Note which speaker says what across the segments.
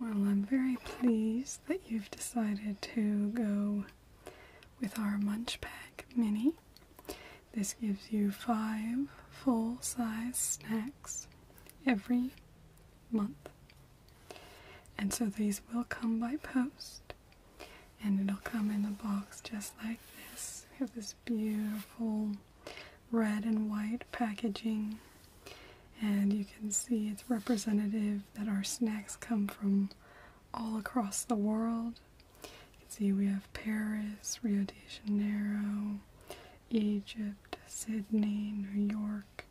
Speaker 1: Well, I'm very pleased that you've decided to go with our Munch Pack Mini. This gives you five full size snacks every month. And so these will come by post and it'll come in a box just like this. We have this beautiful red and white packaging, and you can see it's representative that our snacks come from all across the world. You can see we have Paris, Rio de Janeiro, Egypt, Sydney, New York,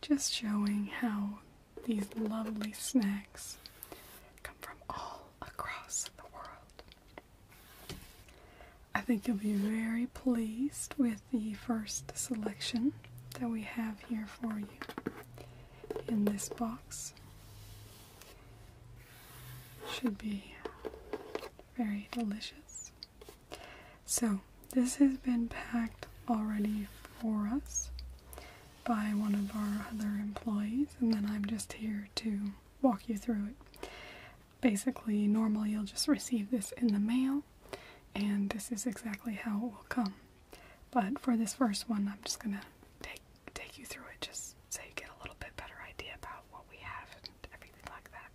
Speaker 1: just showing how these lovely snacks come from all across the world. I think you'll be very pleased with the first selection that we have here for you And this box. Should be very delicious. So, this has been packed already for us by one of our other employees, and then I'm just here to walk you through it. Basically, normally you'll just receive this in the mail, and this is exactly how it will come. But for this first one, I'm just gonna take take you through it just so you get a little bit better idea about what we have and everything like that.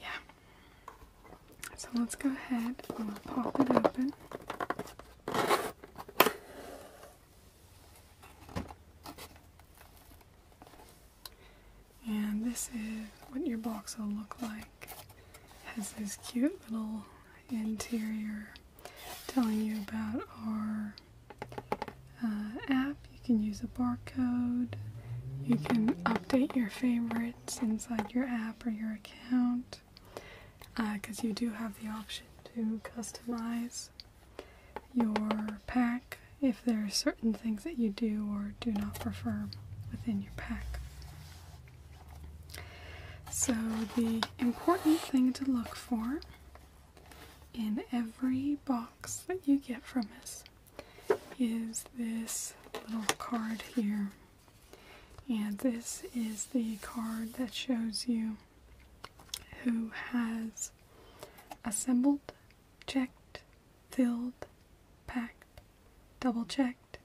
Speaker 1: Yeah. So let's go ahead and we'll pop it open. And this is what your box will look like. It has this cute little interior telling you about our uh, app. You can use a barcode. You can update your favorites inside your app or your account because uh, you do have the option to customize your pack if there are certain things that you do or do not prefer within your pack. So, the important thing to look for in every box that you get from us is this little card here. And this is the card that shows you who has assembled, checked, filled, packed, double checked,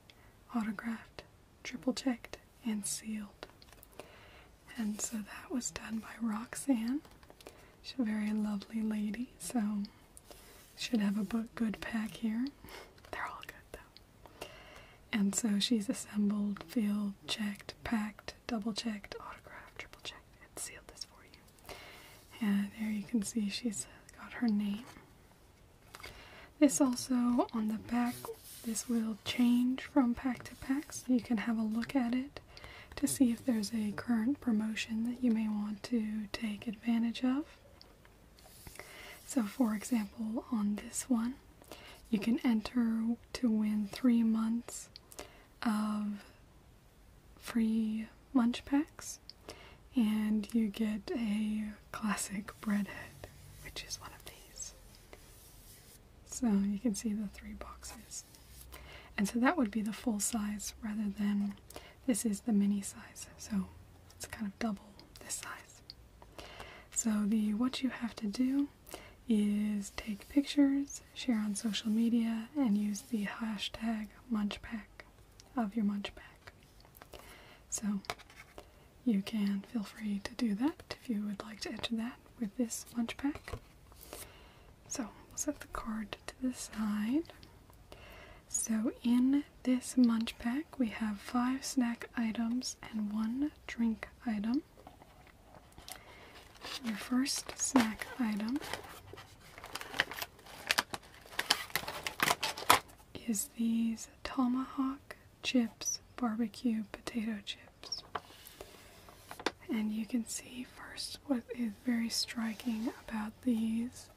Speaker 1: autographed, triple checked, and sealed. And so that was done by Roxanne. She's a very lovely lady, so should have a book good pack here. They're all good though. And so she's assembled, filled, checked, packed, double checked, autographed, triple checked, and sealed this for you. And there you can see she's got her name. This also on the back, this will change from pack to pack, so you can have a look at it to see if there's a current promotion that you may want to take advantage of. So, for example, on this one, you can enter to win three months of free lunch packs, and you get a classic breadhead, which is one of these. So you can see the three boxes. And so that would be the full size rather than this is the mini size. So it's kind of double this size. So, the what you have to do is take pictures, share on social media, and use the hashtag munchpack of your munchpack. So, you can feel free to do that if you would like to enter that with this munchpack. So, we'll set the card to the side. So, in this munch pack, we have five snack items and one drink item, your first snack item is these tomahawk chips barbecue potato chips. And you can see first what is very striking about these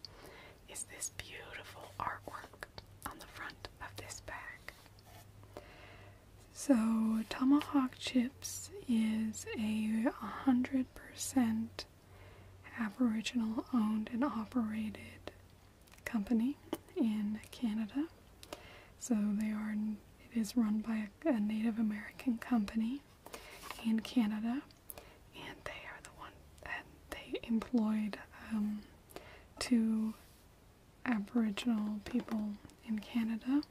Speaker 1: is this beautiful artwork on the front of this bag. So, Tomahawk Chips is a 100% Aboriginal owned and operated company in Canada. So, they are, it is run by a, Native American company in Canada, and they are the one that they employed um, two Aboriginal people in Canada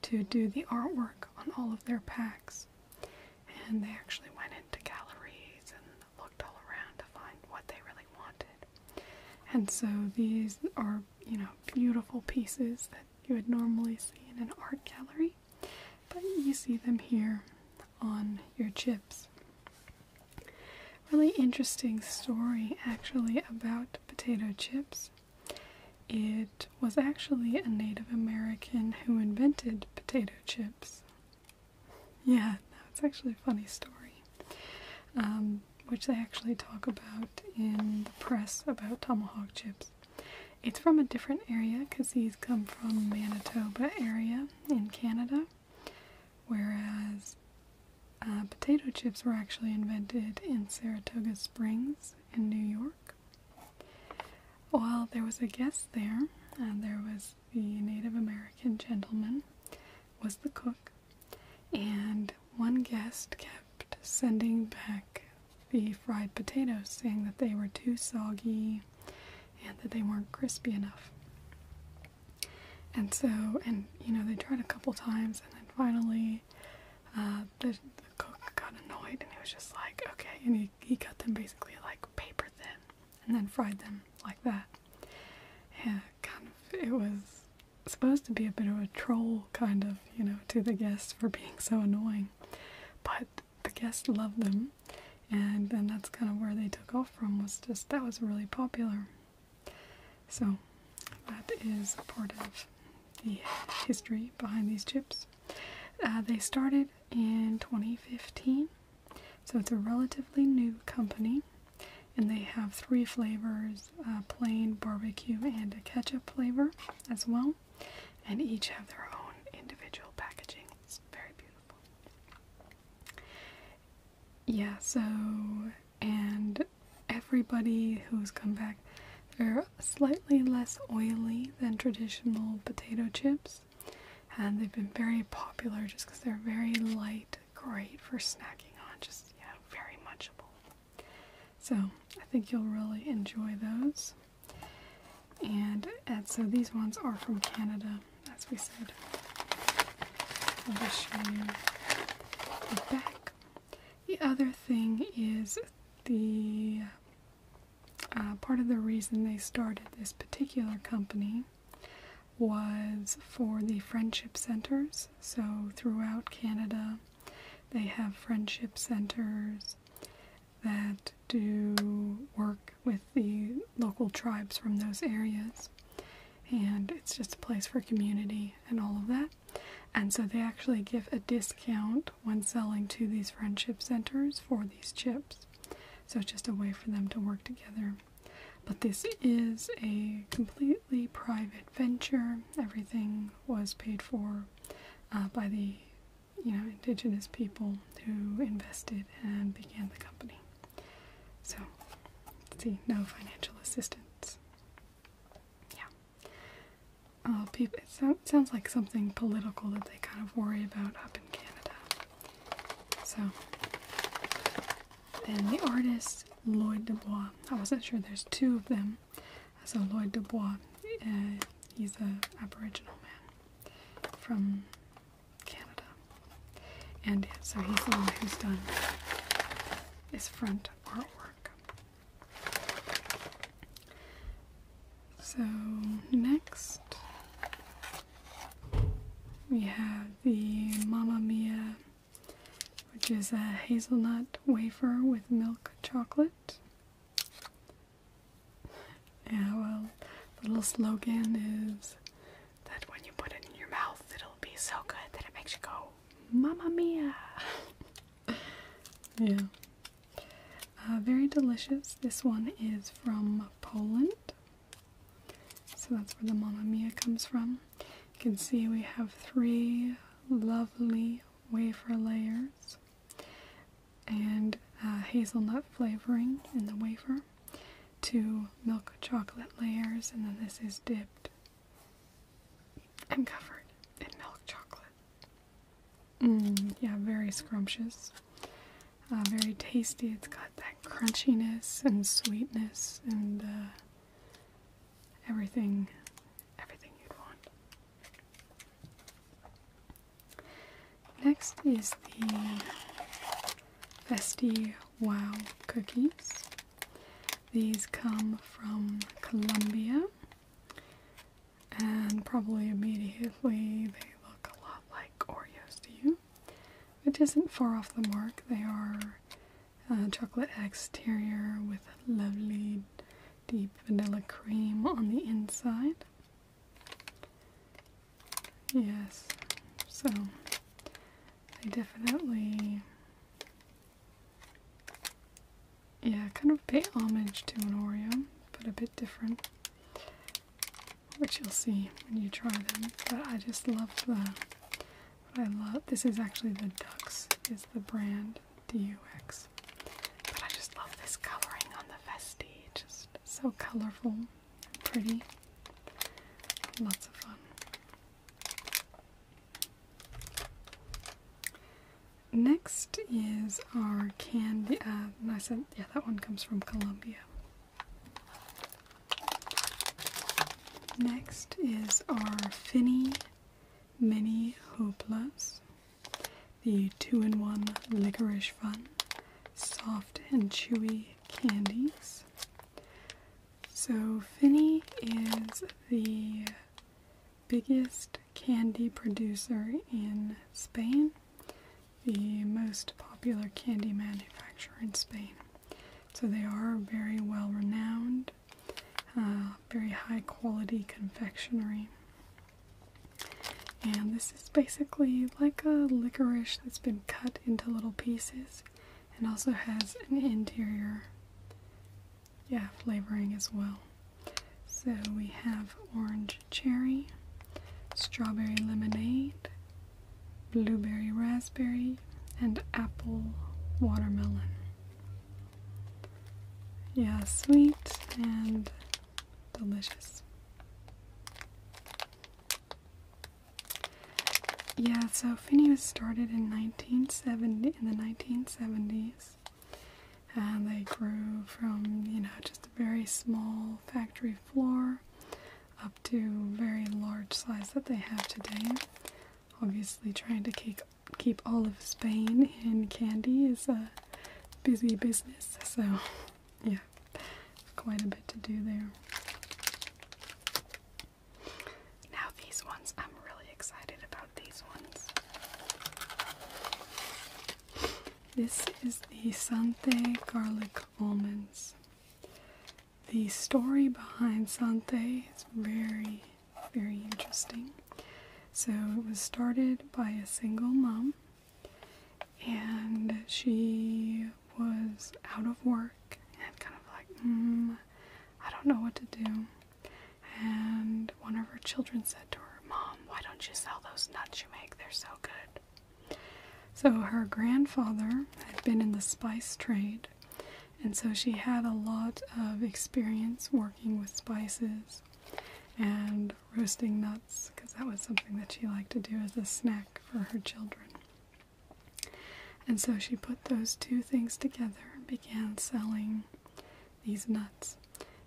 Speaker 1: to do the artwork on all of their packs. And they actually went into galleries and looked all around to find what they really wanted. And so these are, you know, beautiful pieces that you would normally see in an art gallery, but you see them here on your chips really interesting story actually about potato chips. It was actually a Native American who invented potato chips. Yeah, that's actually a funny story, um, which they actually talk about in the press about tomahawk chips. It's from a different area because he's come from Manitoba area in Canada. Whereas uh, potato chips were actually invented in Saratoga Springs in New York. While there was a guest there, and there was the Native American gentleman, was the cook, and one guest kept sending back the fried potatoes, saying that they were too soggy and that they weren't crispy enough. And so, and you know, they tried a couple times, and then finally, uh, the, cook got annoyed, and he was just like, okay, and he, he cut them basically like paper thin, and then fried them like that. Yeah, kind of, it was supposed to be a bit of a troll, kind of, you know, to the guests for being so annoying, but the guests loved them, and then that's kind of where they took off from, was just, that was really popular. So that is part of the history behind these chips. Uh, they started in 2015, so it's a relatively new company, and they have three flavors uh, plain, barbecue, and a ketchup flavor as well, and each have their own individual packaging. It's very beautiful yeah, so, and everybody who's come back, they're slightly less oily than traditional potato chips, and they've been very popular just because they're very light, great for snacking on, just, yeah, very munchable. So, I think you'll really enjoy those. And, and so these ones are from Canada, as we said, I'll show you the back. The other thing is the uh, part of the reason they started this particular company was for the friendship centers. So throughout Canada, they have friendship centers that do work with the local tribes from those areas and it's just a place for community and all of that. And so they actually give a discount when selling to these friendship centers for these chips. So it's just a way for them to work together. But this is a completely private venture. Everything was paid for uh, by the you know indigenous people who invested and began the company. So, see, no financial assistance. Yeah. Oh, uh, people, it sounds like something political that they kind of worry about up in Canada. So, then the artist Lloyd Dubois. I wasn't sure there's two of them. So, Lloyd Dubois, uh, he's an Aboriginal man from Canada. And so he's the one who's done this front artwork. So next we have the Mama Mia, which is a hazelnut wafer with milk chocolate. Yeah, well, the little slogan is that when you put it in your mouth, it'll be so good that it makes you go, Mamma Mia! yeah. Uh, very delicious. This one is from Poland. So that's where the Mamma Mia comes from. You can see we have three lovely wafer layers and hazelnut flavoring in the wafer, two milk chocolate layers, and then this is dipped I'm covered in milk chocolate. Mm, yeah, very scrumptious. Uh, very tasty. It's got that crunchiness and sweetness and uh, everything, everything you'd want. Next is the Festi Wow cookies. These come from Colombia, and probably immediately they look a lot like Oreos to you, which isn't far off the mark. They are uh, chocolate exterior with lovely deep vanilla cream on the inside. Yes, so I definitely, yeah, kind of pay homage to an Oreo, but a bit different, which you'll see when you try them. But I just love the, I love, this is actually the Ducks, is the brand, D-U-X. But I just love this coloring on the Vesti, just so colorful and pretty. Lots of fun. Next is our candy. Uh, I said, yeah, that one comes from Colombia. Next is our Finny Mini Hopeless, the two-in-one licorice fun, soft and chewy candies. So, Finney is the biggest candy producer in Spain, the most popular candy manufacturer in Spain. So, they are very well renowned, uh, very high quality confectionery. And this is basically like a licorice that's been cut into little pieces and also has an interior yeah, flavoring as well. So we have orange cherry, strawberry lemonade, blueberry raspberry, and apple watermelon. Yeah, sweet and delicious. Yeah, so Finney was started in 1970 in the 1970s, and they grew from you know just a very small factory floor up to very large size that they have today. Obviously, trying to keep keep all of Spain in candy is a busy business, so yeah, quite a bit to do there. Now, these ones, I'm really excited about these ones. This is the Sante Garlic Almonds. The story behind Sante is very, very interesting. So, it was started by a single mom, and she was out of work and kind of like, mm, I don't know what to do. And one of her children said to her, Mom, why don't you sell those nuts you make? They're so good. So her grandfather had been in the spice trade, and so she had a lot of experience working with spices and roasting nuts because that was something that she liked to do as a snack for her children. And so she put those two things together and began selling these nuts.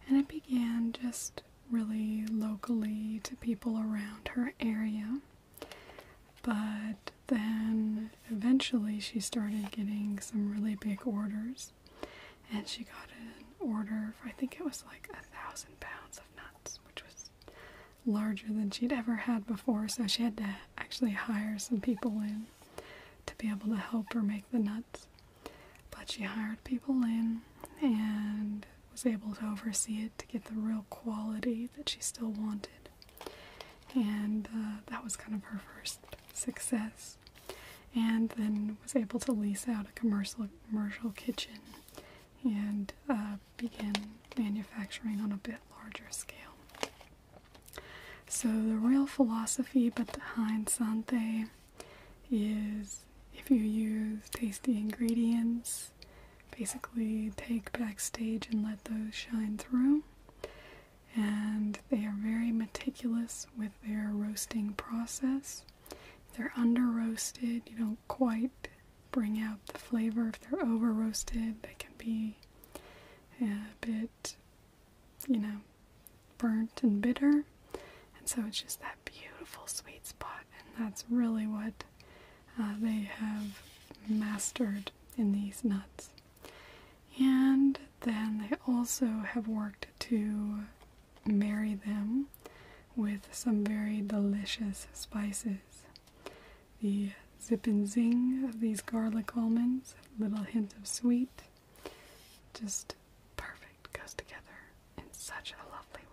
Speaker 1: And it began just really locally to people around her area. But then eventually she started getting some really big orders. And she got an order I think it was like a thousand pounds of nuts, which was larger than she'd ever had before, so she had to actually hire some people in to be able to help her make the nuts. But she hired people in and was able to oversee it to get the real quality that she still wanted. And uh, that was kind of her first success. And then was able to lease out a commercial commercial kitchen and uh, begin manufacturing on a bit larger scale. So, the real philosophy behind Sante is if you use tasty ingredients, basically take backstage and let those shine through. And they are very meticulous with their roasting process. If they're under roasted, you don't quite bring out the flavor. If they're over roasted, they can be a bit, you know, burnt and bitter. And so it's just that beautiful sweet spot, and that's really what uh, they have mastered in these nuts. And then they also have worked to marry them with some very delicious spices the zip and zing of these garlic almonds, a little hint of sweet. Just perfect, goes together in such a lovely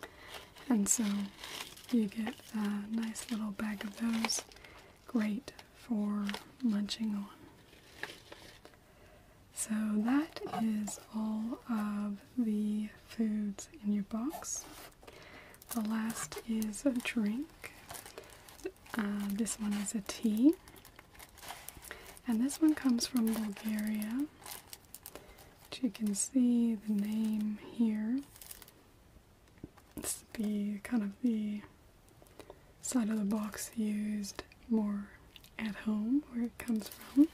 Speaker 1: way. And so you get a nice little bag of those, great for munching on. So that is all of the foods in your box. The last is a drink. Uh, this one is a tea. And this one comes from Bulgaria. you can see the name here. It's kind of the side of the box used more at home where it comes from.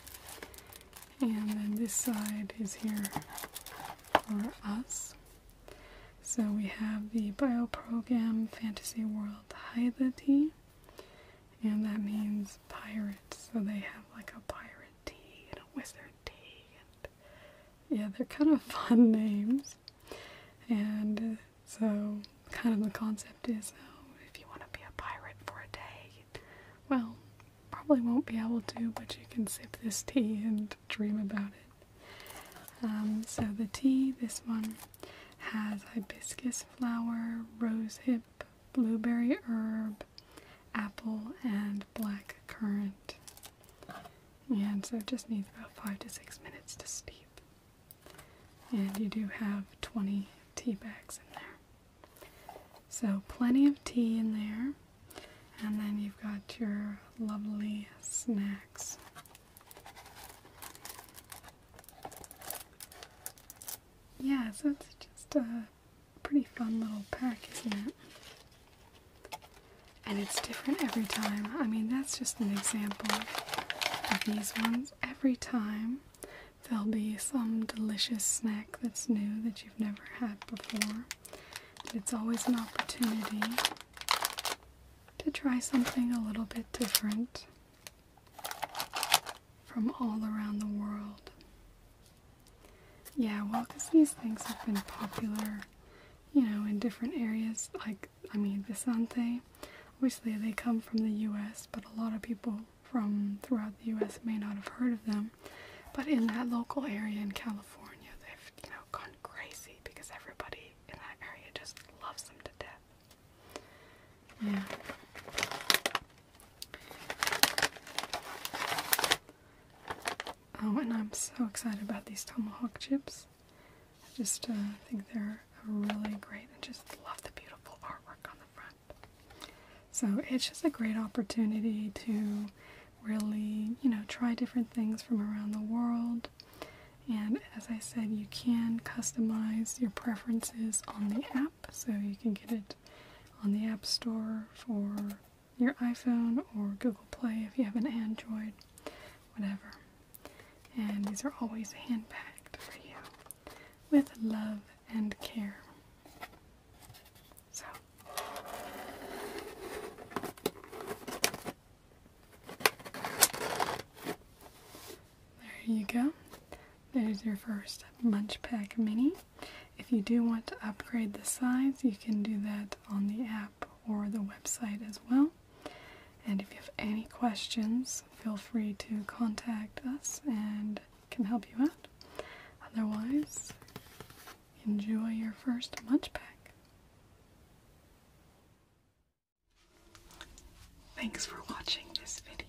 Speaker 1: And then this side is here for us. So we have the Bioprogram Fantasy World Haidati, and that means pirates. So they have like a pirate tea and a wizard tea, and yeah, they're kind of fun names. And uh, so, kind of the concept is, oh, if you want to be a pirate for a day, well, probably won't be able to, but you can sip this tea and dream about it. Um, so, the tea, this one has hibiscus flower, rosehip, blueberry herb, apple, and black currant. And so, it just needs about five to six minutes to steep. And you do have 20 tea bags in there. So, plenty of tea in there. And then you've got your lovely snacks. Yeah, so it's just a pretty fun little pack, isn't it? And it's different every time. I mean, that's just an example of these ones. Every time there'll be some delicious snack that's new that you've never had before it's always an opportunity to try something a little bit different from all around the world. Yeah, well, because these things have been popular, you know, in different areas. Like, I mean, Visante, obviously they come from the US, but a lot of people from throughout the US may not have heard of them. But in that local area in California, they've you know gone crazy because everybody in that area just loves them to death. Yeah. Oh, and I'm so excited about these tomahawk chips. just uh, think they're really great. I just love the beautiful artwork on the front. So it's just a great opportunity to really, you know, try different things from around the world. And as I said, you can customize your preferences on the app, so you can get it on the App Store for your iPhone or Google Play if you have an Android, whatever. And these are always hand packed for you with love and care. So there you go. There's your first Munch Pack Mini. If you do want to upgrade the size, you can do that on the app or the website as well. And if you have any questions, feel free to contact us and can help you out. Otherwise, Enjoy your first munch pack. Thanks for watching this video.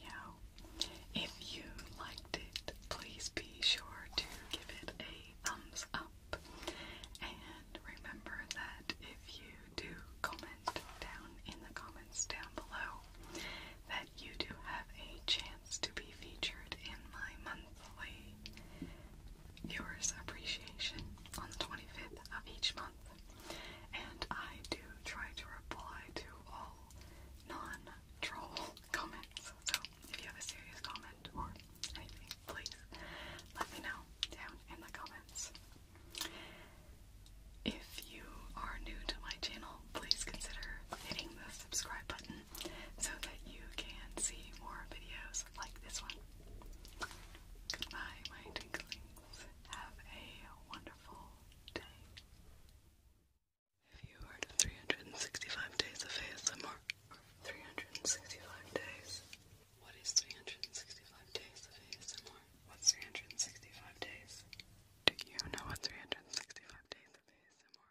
Speaker 1: If you liked it, please be sure to give it a thumbs up. And remember that if you do comment down in the comments down below, that you do have a chance to be featured in my monthly viewers appreciation on the 25th of each month. And I do try to reply to all non-troll comments. So if you have a serious comment or anything, please let me know down in the comments. If you are new to my channel, please consider hitting the subscribe button so that you can see more videos like this one. Goodbye, my twinklings. Have a wonderful day. If you heard of 365 days of ASMR, 365 days. What is 365 days of ASMR? What's 365 days? Do you know what 365 days of ASMR